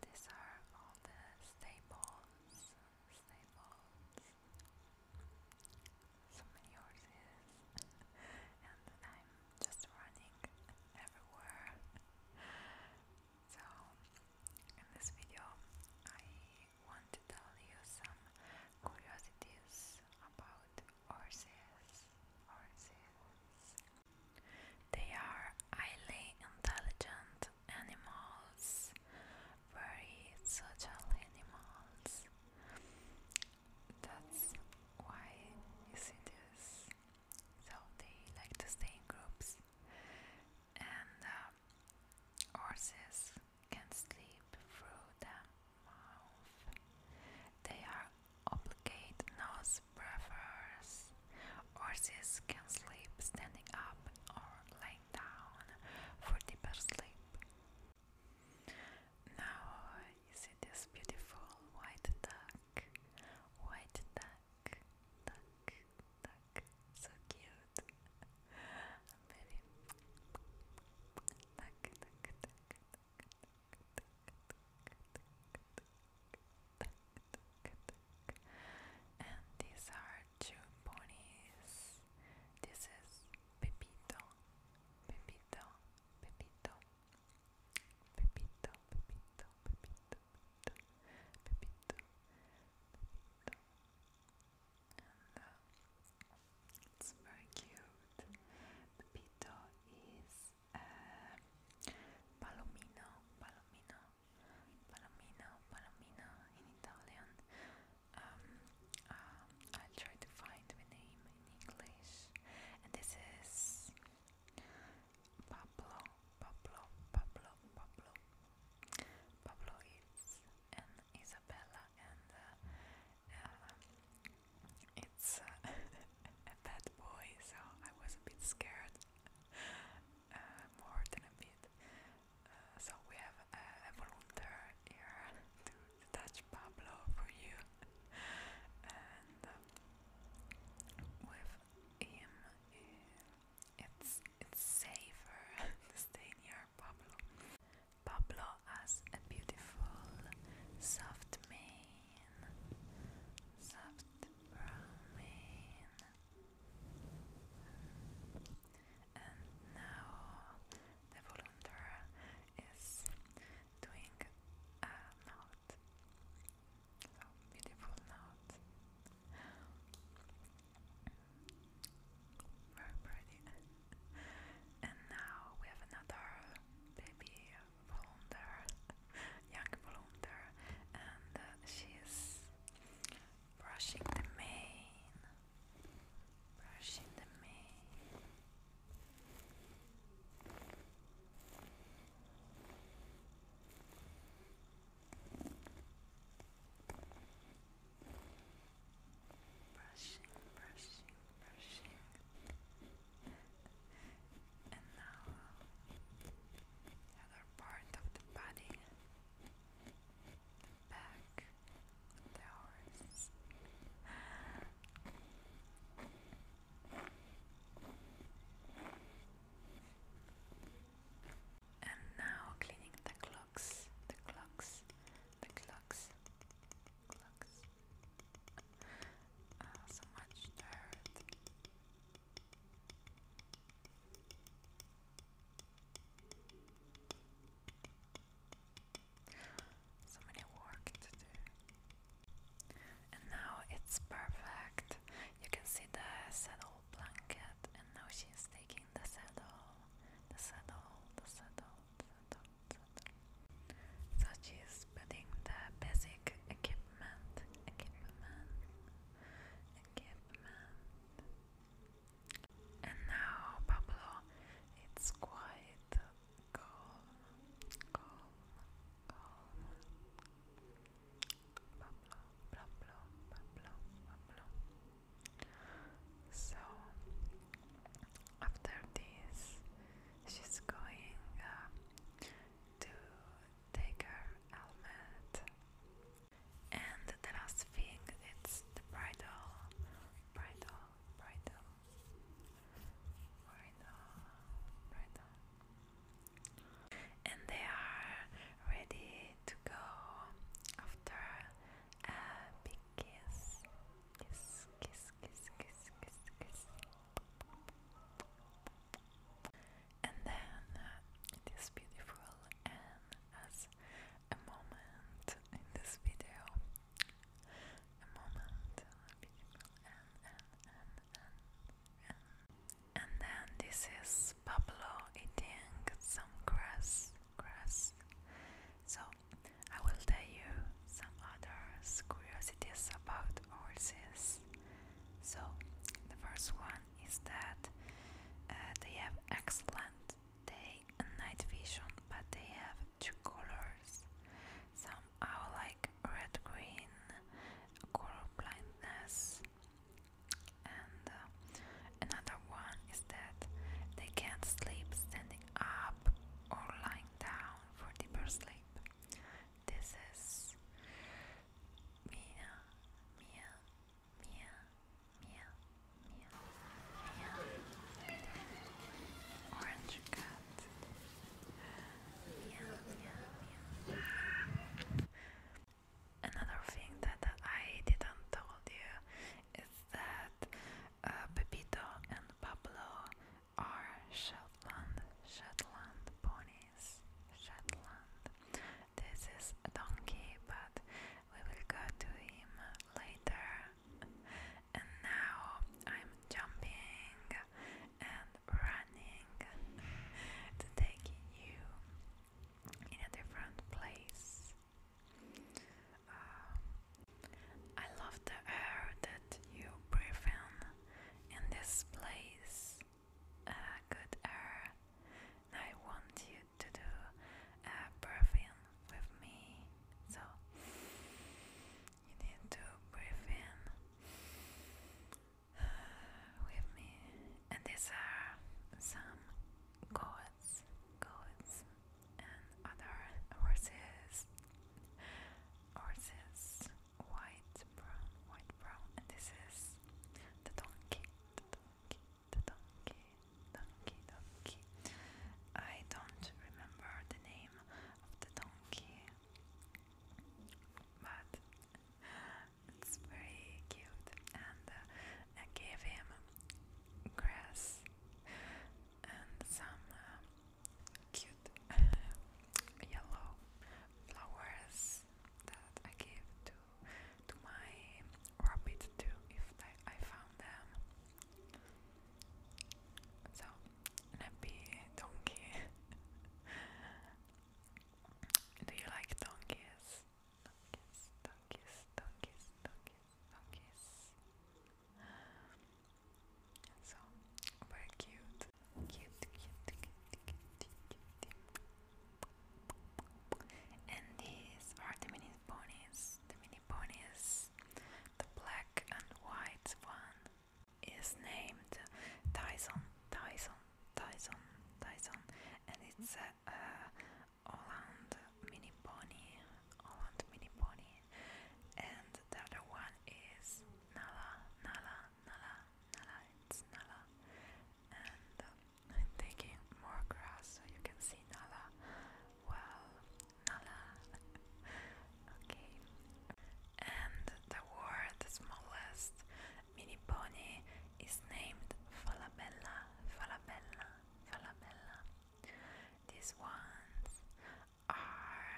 These are all the stables, stables, so many horses, and I'm just running everywhere. So, in this video, I want to tell you some curiosities about horses, horses, they are highly intelligent animals, very social animals. That's why you see this. So they like to stay in groups, and uh, horses can sleep through the mouth. They are obligate nose this prefers horses can sleep standing up or lying down for deeper sleep. Now you see this beautiful white duck, white duck, duck, duck, so cute. Very duck, duck, duck, duck, duck, duck, duck, duck, duck, and these are two ponies. This is Pepito, Pepito, Pepito, Pepito, Pepito, Pepito, Pepito, Pepito, uh, it's very cute. Pepito is uh, Palomino, Palomino, Palomino, Palomino in Italian. Um, uh, I'll try to find the name in English. And this is Pablo, Pablo, Pablo, Pablo. Pablo is and Isabella, and uh, um, it's uh, a bad boy, so I was a bit scared more than a bit. Uh, so we have a, volunteer here to touch Pablo for you, and uh, with him, eh, it's it's safer stay near Pablo. Pablo has a beautiful, soft mane, bromine and now the volunteer is doing a note so beautiful note very pretty and now we have another baby volunteer young volunteer and uh, she is brushing the mane brushing the mane Brushing, brushing, brushing and now other part of the body, back, the And now cleaning the clocks, the clocks, the clocks, clocks. Ah, so much dirt. So many work to do. And now it's perfect. You can see the saddle blanket, and now she's taking the saddle, the saddle, the saddle, saddle, saddle. So she's putting the basic equipment equipment, equipment, equipment. And now, Pablo, it's quite calm, calm, calm. Pablo, Pablo, Pablo, Pablo. So, after this, she's going uh, to take her helmet. And the last thing it's the bridle, bridle, bridle, bridle, bridle. And they are ready to go after a big kiss. Kiss, kiss, kiss, kiss, kiss, kiss. And then uh, it is beautiful, and as a moment in this video, a moment, uh, beautiful, and, and, and, and, and. And then this is Pablo eating some grass, grass. So I will tell you some other curiosities about horses. So, the first one is that uh, they have excellent day and night vision, but they have two colors. Some are like red green, color blindness, and uh, another one is that they can't sleep standing up or lying down for deeper sleep. This is Mia, Mia, Mia, Mia, Mia, Mia, Orange Cat, Another thing that I didn't told you is that uh, Pepito and Pablo are Shetland, Shetland ponies. Shetland. This is a donkey, but we will go to him later. And now I'm jumping and running to take you in a different place. Uh, I love the air that you breathe in in this place good air. I want you to do a breathing with me. So you need to breathe in with me. And these are some goats, goats, and other horses, horses white, brown, white, brown, and this is the donkey, the donkey, the donkey, donkey, donkey. I don't remember the name of the donkey, but it's very cute, and uh, I gave him grass and some uh, cute yellow flowers that I give to to my rabbit too if I, I found them. So nappy donkey. Do you like donkeys? Donkeys, donkeys, donkeys, donkeys, donkeys. So very cute. And these are the mini ponies. The mini ponies, the black and white one is named Tyson, Tyson, Tyson, Tyson, and it's a, a Holland mini pony, Holland mini pony, and the other one is Nala, Nala, Nala, Nala, it's Nala. And um, I'm taking more grass so you can see Nala. Well, Nala. okay. And the word, the smallest mini pony, is named Falabella, Falabella, Falabella. These ones are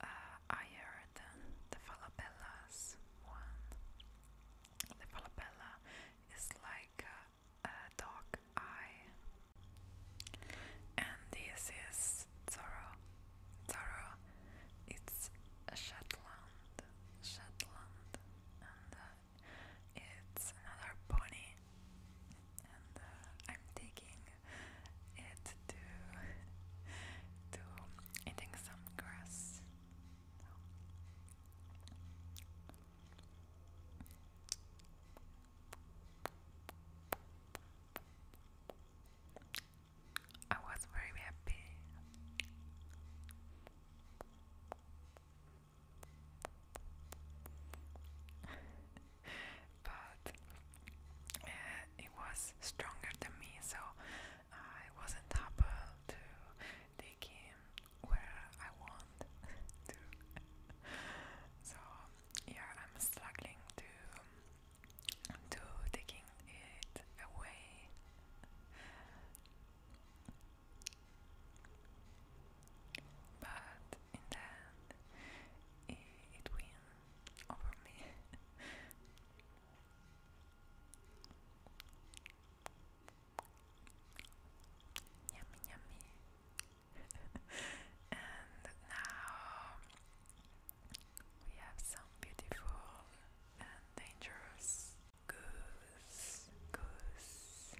uh, higher than the Falabella's one. The Falabella is like a, a eye, and this is Zorro. Zorro, it's a Shetland, Shetland, and uh, it's another pony. And uh, I'm taking it to to eating some grass. I was very happy. but uh, it was stronger than me, so I wasn't able to take him where I want to. so yeah, I'm struggling to to taking it away. But in the end, it, it over me. Yummy, yummy. and now we have some beautiful and dangerous goose. Goose.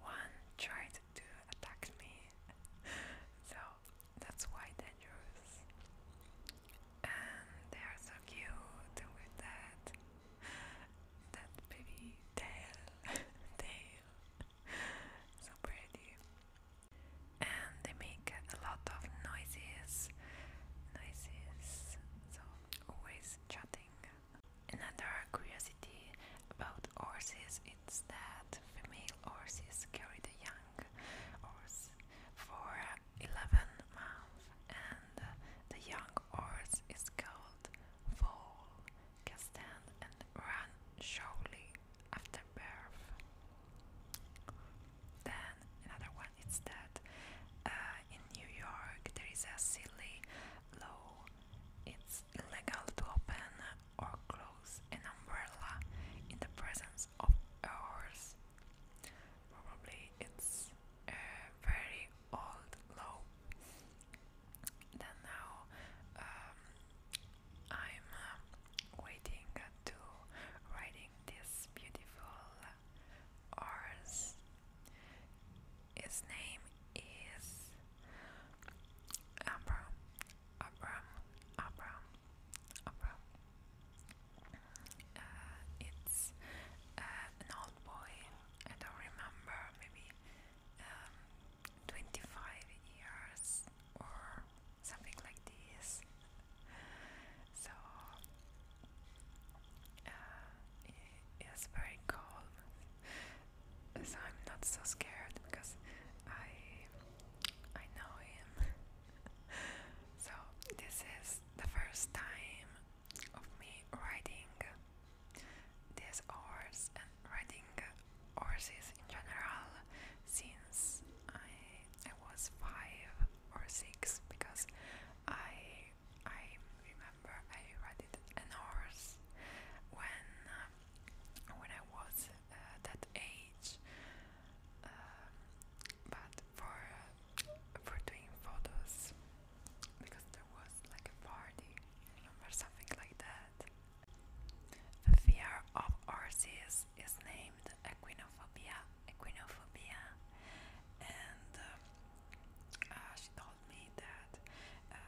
One tried to attack me, so that's why dangerous. And they are so cute with that that baby tail tail. so pretty. And they make a lot of noises. Noises. So always chatting. Another curiosity about horses is that female horses carry the young horse for 11 months and uh, the young horse is called foal, can and run shortly after birth. Then another one is that uh, in New York there is a silly law. It's illegal to open or close an umbrella in the presence of a horse. Probably it's a very old law. Then now um, I'm uh, waiting to riding this beautiful horse. His name is Abram, Abram, Abram, Abram. Uh, it's uh, an old boy, I don't remember, maybe um, 25 years or something like this. So uh, it's very calm, so I'm not so scared because I I know him. so this is the first time of me riding this horse and riding horses in general since I I was five or six because I I remember I ridden an horse when when I was uh, that age uh, but for uh, for doing photos because there was like a party or something like that the fear of Orpheus is named equinophobia equinophobia and um, uh, she told me that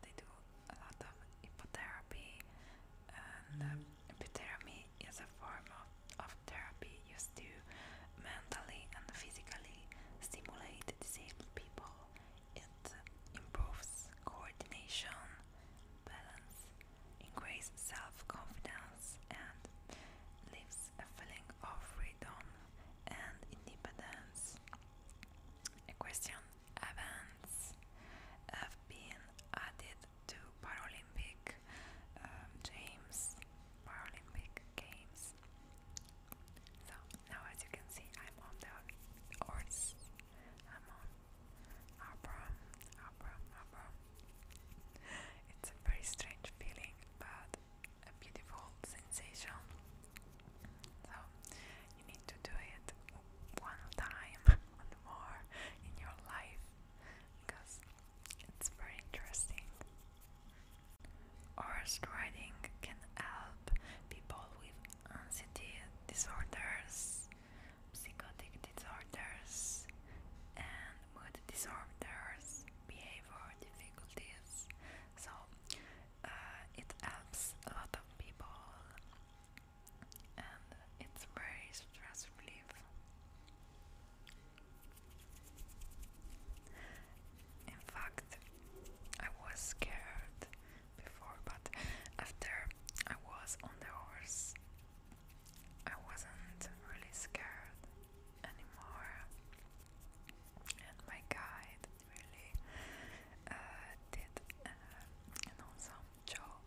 they do a lot of hypotherapy. Epitherapy is a form of, of therapy used to mentally and physically stimulate disabled people. It improves coordination, balance, increases self-confidence and leaves a feeling of freedom and independence. A question events have been added to Paralympic Games, um, Paralympic Games. So now, as you can see, I'm on the horse. I'm on Abram, Abram, Abram. It's a very strange feeling, but a beautiful sensation. So you need to do it one time, one more in your life because it's very interesting. Horse riding can help people with anxiety disorders, psychotic disorders, and mood disorders, behavior difficulties. So uh, it helps a lot of people and it's very stress relief. In fact, I was scared before, but after I was on the horse, I wasn't really scared anymore. And my guide really uh, did uh, an awesome job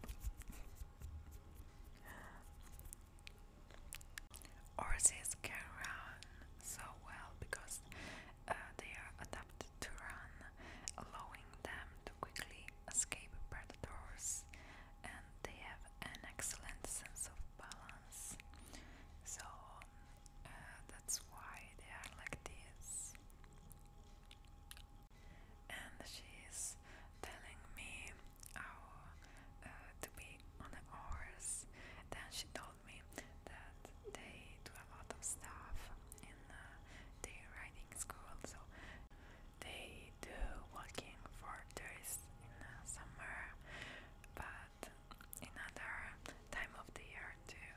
horses can run so well because uh, they are adapted to run allowing them to quickly escape predators and they have an excellent sense of balance so uh, that's why they are like this and she's telling me how uh, to be on a horse. Then she told me that they do a lot of stuff in uh, their riding school, so they do walking for tourists in summer, but in other time of the year too.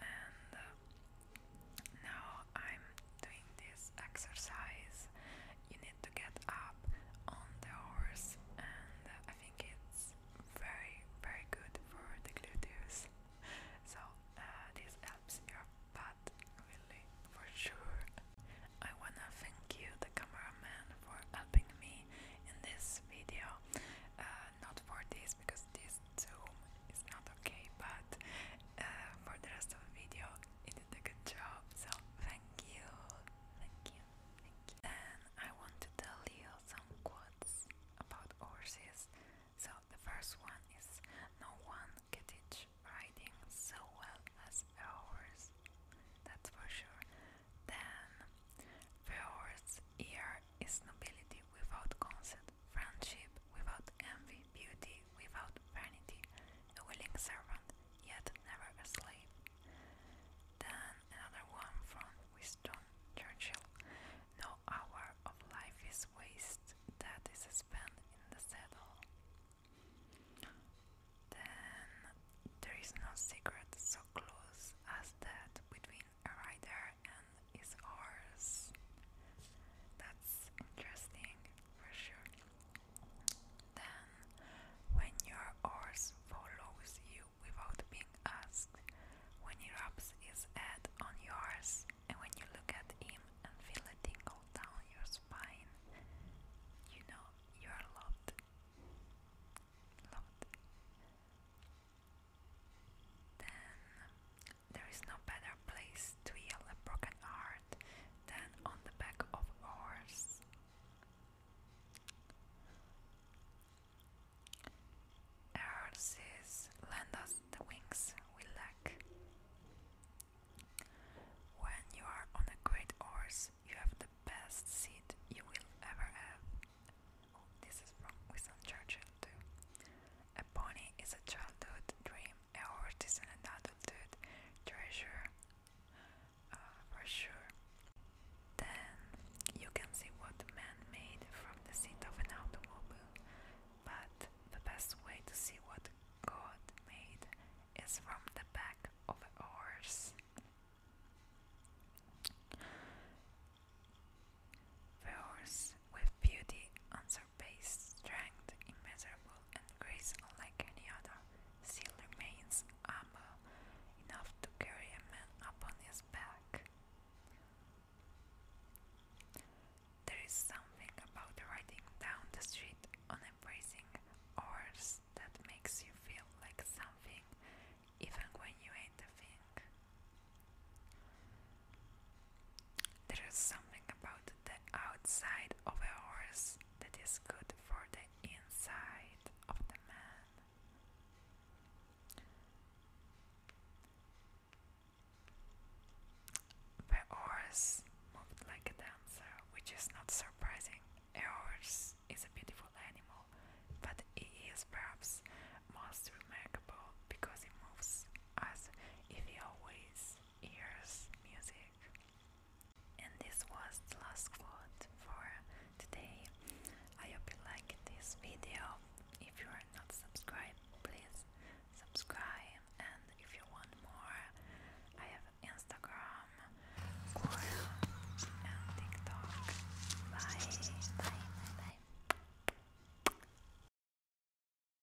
And uh, now I'm doing this exercise. You need to get up on the horse, and I think it's very, very good for the gluteus. So, uh, this helps your butt really for sure. I wanna thank you, the cameraman, for helping me in this video. Uh, not for this because this zoom is not okay, but uh, for the rest of the video, you did a good job, so thank you, thank you, thank you. Then I want to tell you some quotes about horses. So the first one is no one can teach riding so well as a horse. That's for sure. Then the horse here is nobility without consent, friendship without envy, beauty without vanity, a willing servant, yet never a slave. Then another one from Winston Churchill. No hour of life is waste that is spent in the saddle. Then there is no secret so close as that between a rider and his horse. That's interesting for sure. Then, when your horse follows you without being asked, when he rubs his head on yours, and when you look at him and feel a tingle down your spine, you know you are loved. Loved. Then, there is no better place to heal a broken heart than on the back of a Horses lend us the wings we lack. When you are on a great horse, you have the best seat you will ever have. Oh, this is from Winston Churchill too. A pony is a childhood dream a horse is an unadulterated treasure uh, for sure. Then you can see what man made from the seat of an automobile, but the best way to see what God made is from the back of a horse. The with beauty unsurpassed based strength, immeasurable and grace unlike any other, still remains humble enough to carry a man upon his back. There is something about riding down the street on a bracing horse that makes you feel like something even when you ain't the thing. There is something about the outside of a horse that is good for the inside of the man. The horse moved like a dancer, which is not surprising. A horse is a beautiful animal, but it is perhaps most remarkable because it moves as if it always ears music. And this was the last quote for today. I hope you liked this video. If you are not subscribed, please subscribe. And if you want more, I have Instagram, Quora, and TikTok. bye, bye, bye.